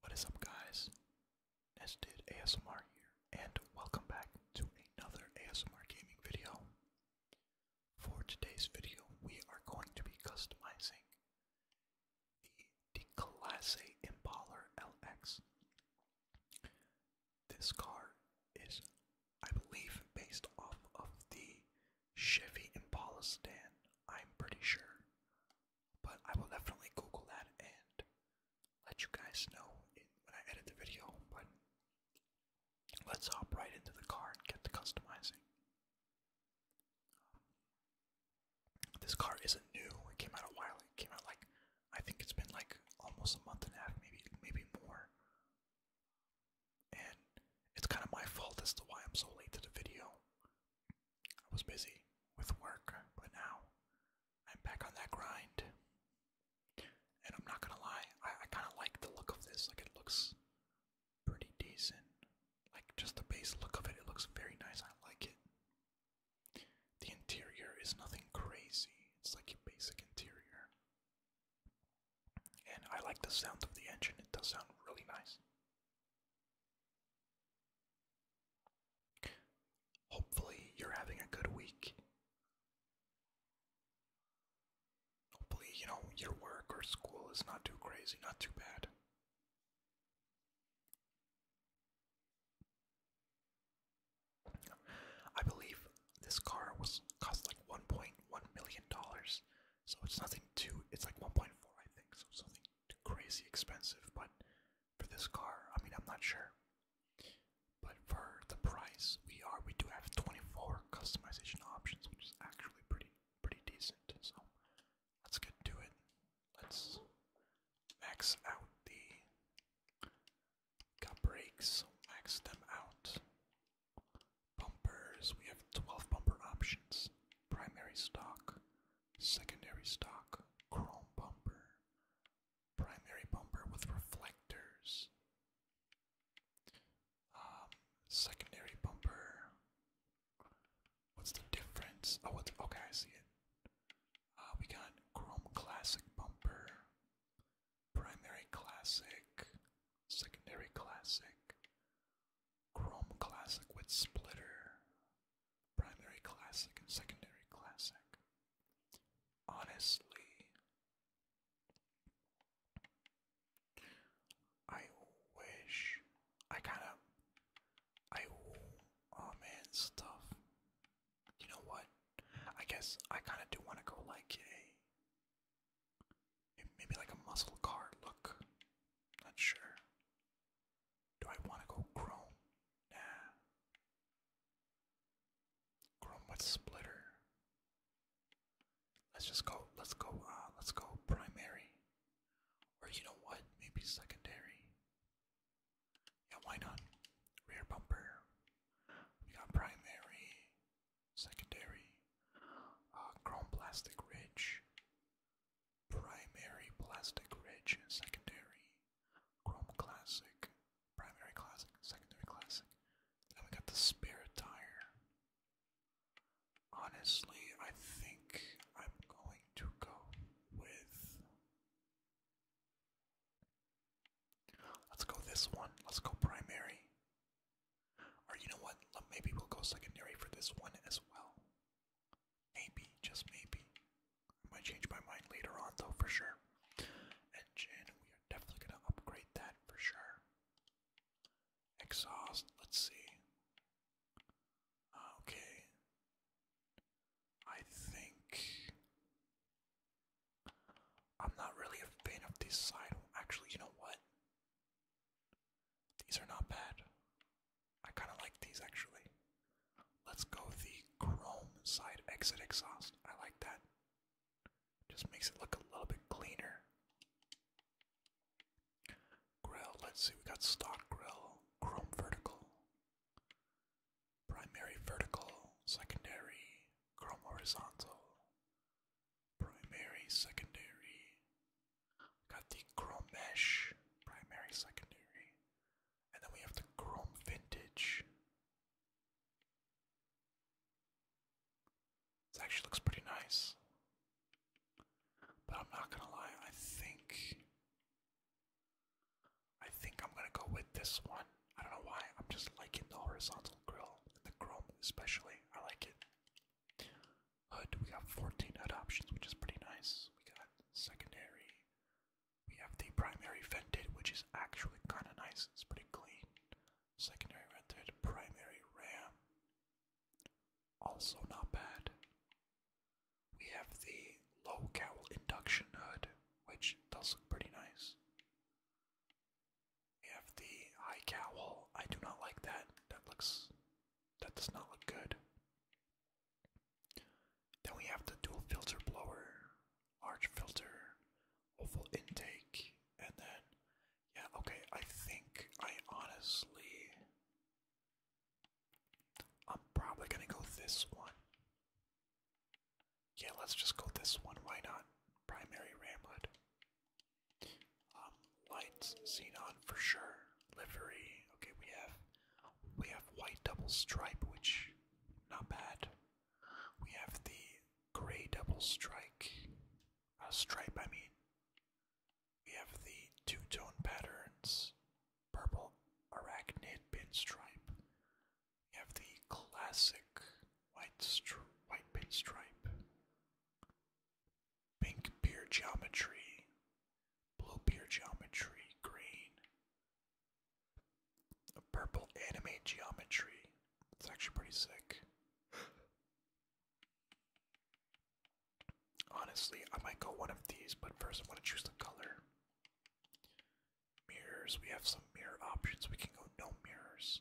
What is up, guys? Nested ASMR here, and welcome back to another ASMR gaming video. For today's video, we are going to be customizing the, the Class A Impaler LX. This car is, I believe, based off of the Chevy Impala sedan. I'm pretty sure. But I will definitely Google that and let you guys know when I edit the video. But let's hop right into the car and get to customizing. This car isn't new. It came out a while. It came out like I think it's been like almost a month and a half, maybe maybe more. And it's kind of my fault as to why I'm so late to the video. I was busy with work, but now I'm back on that grind. And I'm not gonna lie, I, kind of like the look of this. Like, it looks pretty decent. Like, just the base look of it, it looks very nice. I like it. The interior is nothing crazy, it's like your basic interior. And I like the sound of the engine, it does sound really nice. Hopefully, you're having a good week. Hopefully, you know, your work or school is not too crazy, not too bad. I believe this car was cost like 1.1 million dollars, so it's nothing too. It's like 1.4, I think, so something crazy expensive, but for this car, I mean, I'm not sure. But for the price, we are we do have 24 customization options, which is actually pretty pretty decent. So let's get to it. Let's max out the brakes, max them out. Bumpers, we have 12 bumper options. Primary stock, secondary stock chrome bumper, primary bumper with reflectors, um, secondary bumper. What's the difference? Oh, what's okay? I see it. Uh, we got chrome classic bumper, primary classic, secondary classic. Chrome Classic with splitter, primary classic and secondary classic. Honestly, I wish I kind of I oh man stuff. You know what? I guess I kind of do want to go like a Maybe like a muscle car look. Not sure. Do I want to go chrome? Nah. Chrome with splitter. Let's just go. Let's go. Uh, let's go primary. Or you know what? Maybe secondary. Yeah, why not? Rear bumper. We got primary, secondary, uh, chrome plastic ridge. Primary Plastic Ridge, Secondary Chrome Classic, Primary Classic, Secondary Classic. Then we got the spare tire. Honestly, I think I'm going to go with. Let's go this one. Let's go primary. Or you know what? Maybe we'll go secondary for this one as well. Maybe, just maybe. I might change my mind later on though, for sure. Engine, we are definitely gonna upgrade that for sure. Exhaust, let's see. Uh, okay. I think I'm not really a fan of this side. Actually, you know what? These are not bad. I kind of like these actually. Let's go the chrome side exit exhaust. I like that. Just makes it look a little bit cleaner. Grill, let's see, we got stock grill, chrome vertical, primary vertical, secondary, chrome horizontal, primary, secondary. Got the chrome mesh, primary, secondary. And then we have the chrome vintage. This actually looks pretty nice. But I'm not gonna lie, I think I think I'm gonna go with this one. I don't know why. I'm just liking the horizontal grill and the chrome especially. I like it. HUD, we got 14 HUD options, which is pretty nice. We got secondary. We have the primary vented, which is actually kind of nice. It's pretty clean. Secondary vented, primary RAM. Also not bad. We have the low cowl induction hood, which does look pretty nice. We have the high cowl. I do not like that. That looks. That does not look good. Then we have the dual filter blower, large filter, oval intake, and then. Yeah, okay, I think I honestly. I'm probably gonna go this one. Yeah, let's just go this one. Why not? Primary ramlet. Um, lights, xenon for sure. Livery, okay. We have we have white double stripe, which not bad. We have the gray double strike, uh, stripe. I mean, we have the two tone patterns, purple arachnid pinstripe. We have the classic white stri white pinstripe. Pink beer geometry, blue beer geometry, green, a purple anime geometry. It's actually pretty sick. Honestly, I might go one of these, but first I want to choose the color. Mirrors, we have some mirror options. We can go no mirrors.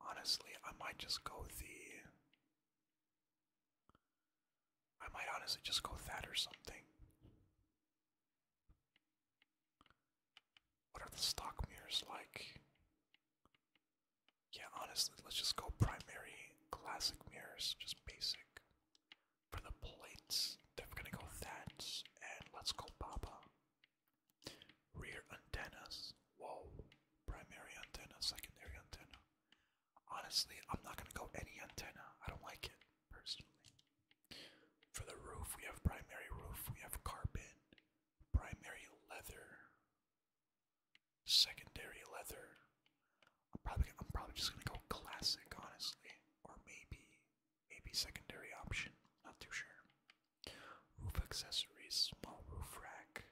Honestly, I might just go the. I might honestly just go that or something. What are the stock mirrors like? Yeah, honestly, let's just go primary classic mirrors, just basic. For the plates, they're gonna go that, and let's go Baba. Rear antennas. Whoa. Primary antenna, secondary antenna. Honestly, I'm not gonna go any antenna. I don't like it personally. For the roof, we have primary roof, we have carpet, primary leather, secondary leather. I'm probably I'm probably just gonna go classic, honestly, or maybe maybe secondary option, not too sure. Roof accessories, small roof rack,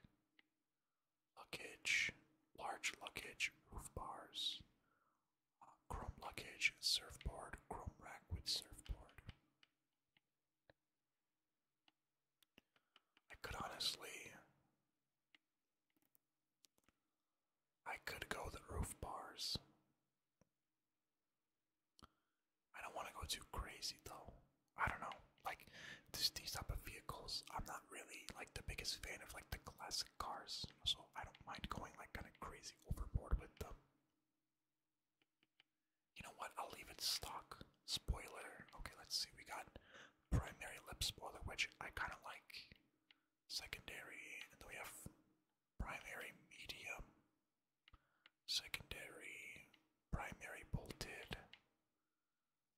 luggage, large luggage, roof bars, uh, chrome luggage, surfboard, chrome rack with surfboard. I could honestly. I could go the roof bars. I don't want to go too crazy though. I don't know. Like this these type of vehicles, I'm not really like the biggest fan of like the classic cars, so I don't mind going like kind of crazy overboard with them. You know what? I'll leave it stock. Spoiler. Okay, let's see. We got primary lip spoiler, which I kind of like. Secondary, and then we have primary medium. Secondary, primary bolted.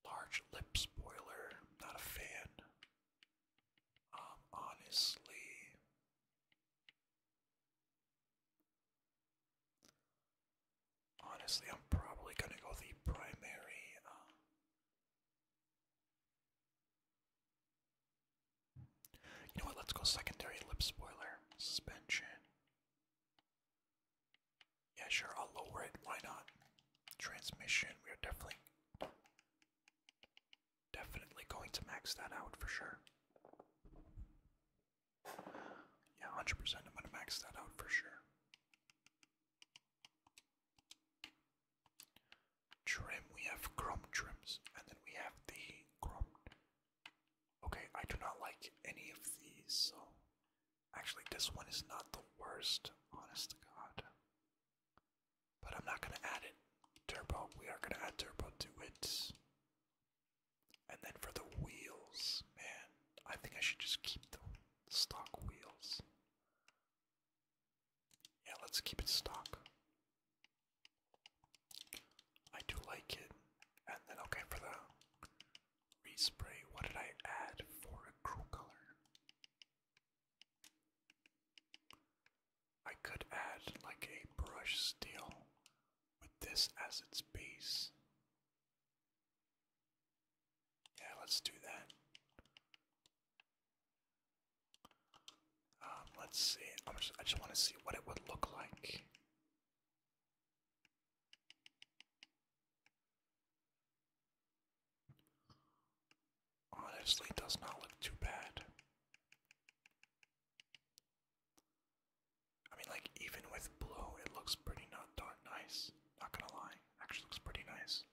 Large lip spoiler, not a fan. Um, honestly, honestly, I'm probably gonna go the primary. Um, you know what? Let's go secondary lip spoiler. Suspension. Yeah, sure, I'll lower it. Why not? Transmission. We are definitely definitely going to max that out for sure. Yeah, 100% I'm going to max that out for sure trim, we have chrome trims, and then we have the chrome. Okay, I do not like any of these, so actually, this one is not the worst, honest to God. But I'm not gonna add it. Turbo, we are gonna add turbo to it. And then for the wheels, man, I think I should just keep the stock wheels. Yeah, let's keep it stock. I do like it. And then, okay, for the respray, what did I add for a crew color? I could add like a brush steel with this as its base. Yeah, let's do that. Um, let's see. i just, want to see what it would look like. Honestly, does not look too bad. I mean, like, even with blue, it looks pretty not darn nice. Not gonna lie, actually looks pretty nice.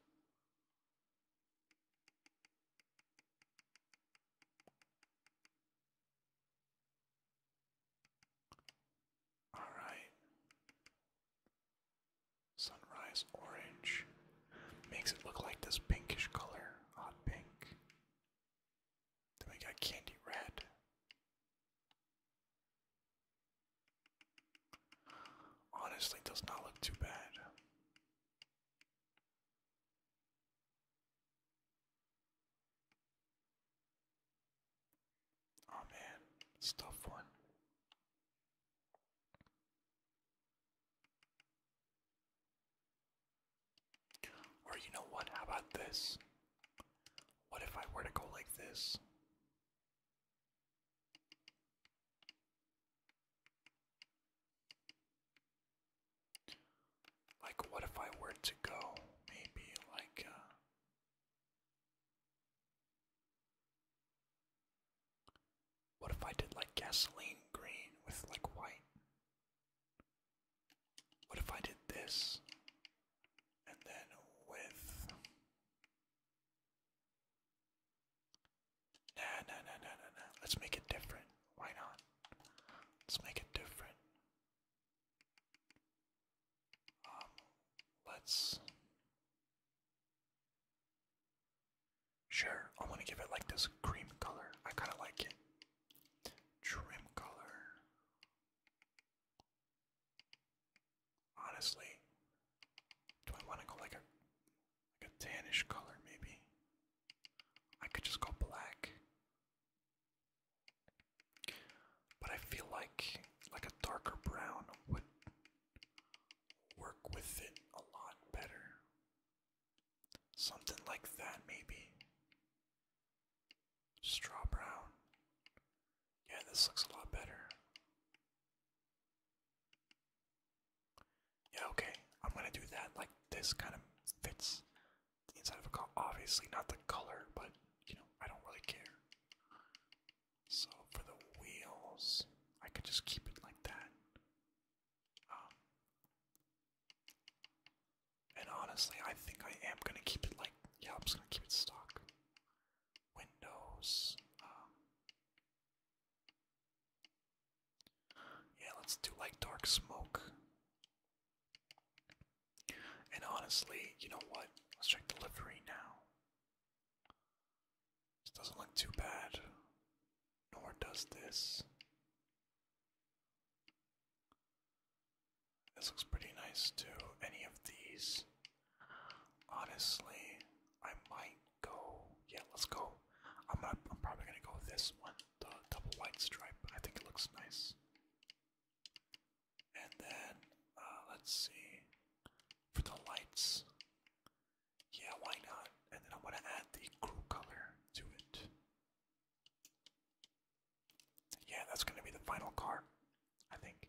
All right. Sunrise orange makes it look like this pinkish color, hot pink. Then we got candy red. Honestly, does not look too bad. Oh man, it's a tough one. Or you know what? How about this? What if I were to go like this? Like, what if I were to go, maybe, like, uh, what if I did, like, gasoline green with, like, white? What if I did this, and then with Nah, nah, nah, nah, nah, nah. Let's make it different. Why not? Let's make it different. Um, let's. Sure, I want to give it like this cream color. I kind of like it. Trim color. Honestly, do I want to go like a like a tannish color, maybe. I could just go black. But I feel like like a darker brown would work with it a lot better. Something like that, maybe. Straw brown. Yeah, this looks a lot better. Yeah, okay, I'm gonna do that. Like, this kind of fits inside of a car. Obviously, not the color, but you know, I don't really care. So, for the wheels, I could just keep it like that. Um, and honestly, I think I am gonna keep it like, yeah, I'm just gonna keep it stock. Windows, um, yeah, let's do like dark smoke. And honestly, you know what? Let's check the now. This doesn't look too bad, nor does this. This looks pretty nice too. Any of these. Honestly, I might go. Yeah, let's go. I'm gonna, I'm probably gonna go this one, the double white stripe. I think it looks nice. And then uh, let's see for the lights. Yeah, why not? And then I'm gonna add the crew color to it. Yeah, that's gonna be the final car. I think.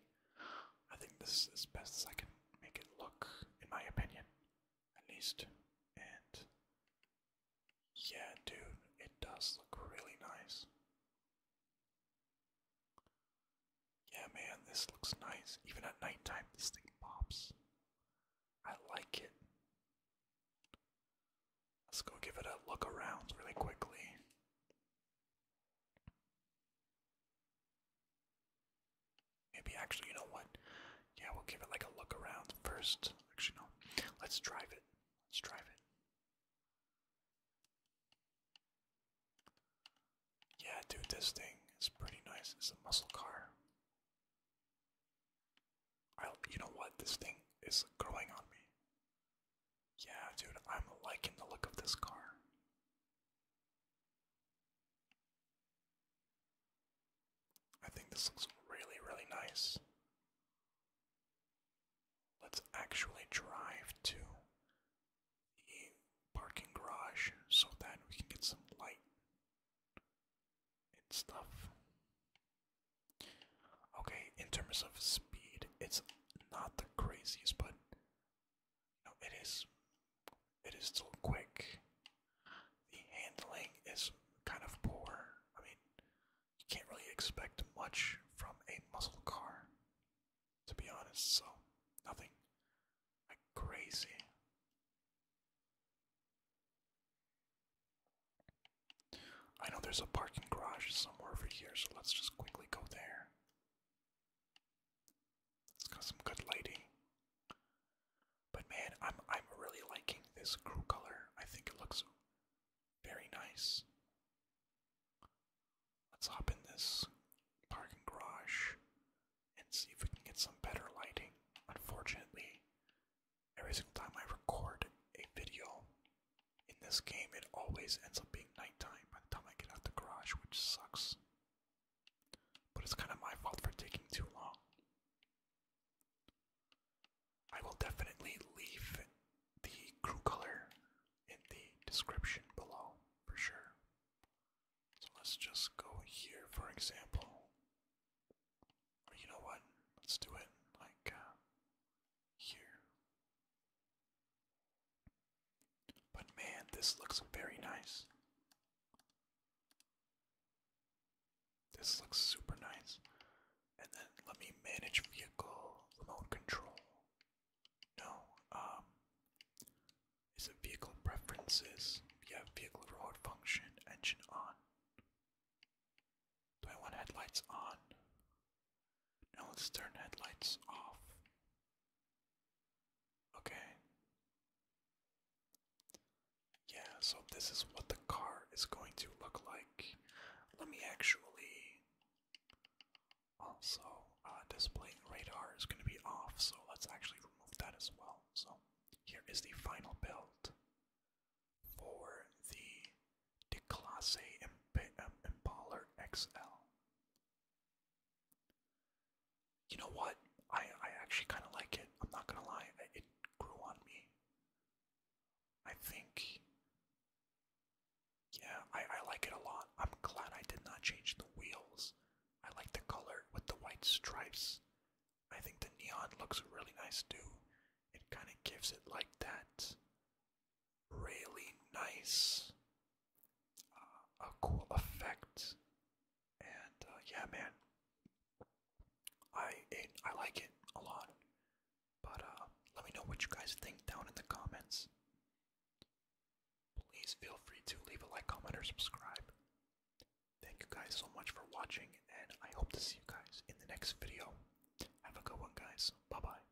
I think this is as best as I can make it look, in my opinion at least. And yeah, dude, it does look really nice. Yeah, man, this looks nice. Even at nighttime, this thing pops. I like it. Let's go give it a look around really quickly. Maybe actually, you know what? Yeah, we'll give it like a look around first. Actually, no. Let's drive it. Let's drive it. Yeah, dude, this thing is pretty nice. It's a muscle car. I, you know what? This thing is growing on me. Yeah, dude, I'm liking the look of this car. I think this looks really, really nice. Let's actually drive to the parking garage so that we can get some light stuff. Okay, in terms of speed, it's not the craziest, but no, it is. It is still quick. The handling is kind of poor. I mean, you can't really expect much from a muscle car, to be honest. So, nothing crazy. I know there's a parking garage somewhere over here, so let's just quickly go there. It's got some good lighting. But man, I'm I'm really liking this crew color. I think it looks very nice. Let's hop in this parking garage and see if we can get some better lighting. Unfortunately, every single time I record a video in this game, it always ends up being nighttime by the time I get out the garage, which sucks. But it's kind of my fault for taking too long. I will definitely leave the crew color in the description below for sure. So let's just go here, for example. you know what? Let's do it like uh, here. But man, this looks very nice. This looks super nice. And then let me manage vehicle remote control. No, um, is it vehicle preferences? We vehicle remote function, engine on. Do I want headlights on? Now let's turn headlights off. Okay. Yeah, so this is what the car is going to look like. Let me actually. Also, uh, display radar is going to be off, so let's actually remove that as well. So, here is the final build for the Declasse Imp Impaler XL. You know what? I I actually kind of like it. I'm not gonna lie. It grew on me. I think. Yeah, I I like it a lot. I'm glad I did not change the wheels. I like the color with the white stripes. I think the neon looks really nice too. It kind of gives it like that really nice, uh, a cool effect, and uh, yeah, man, I I like it a lot. But uh, let me know what you guys think down in the comments. Please feel free to leave a like, comment, or subscribe. Thank you guys so much for watching, and I hope to see you guys in the next video. Have a good one, guys. Bye bye.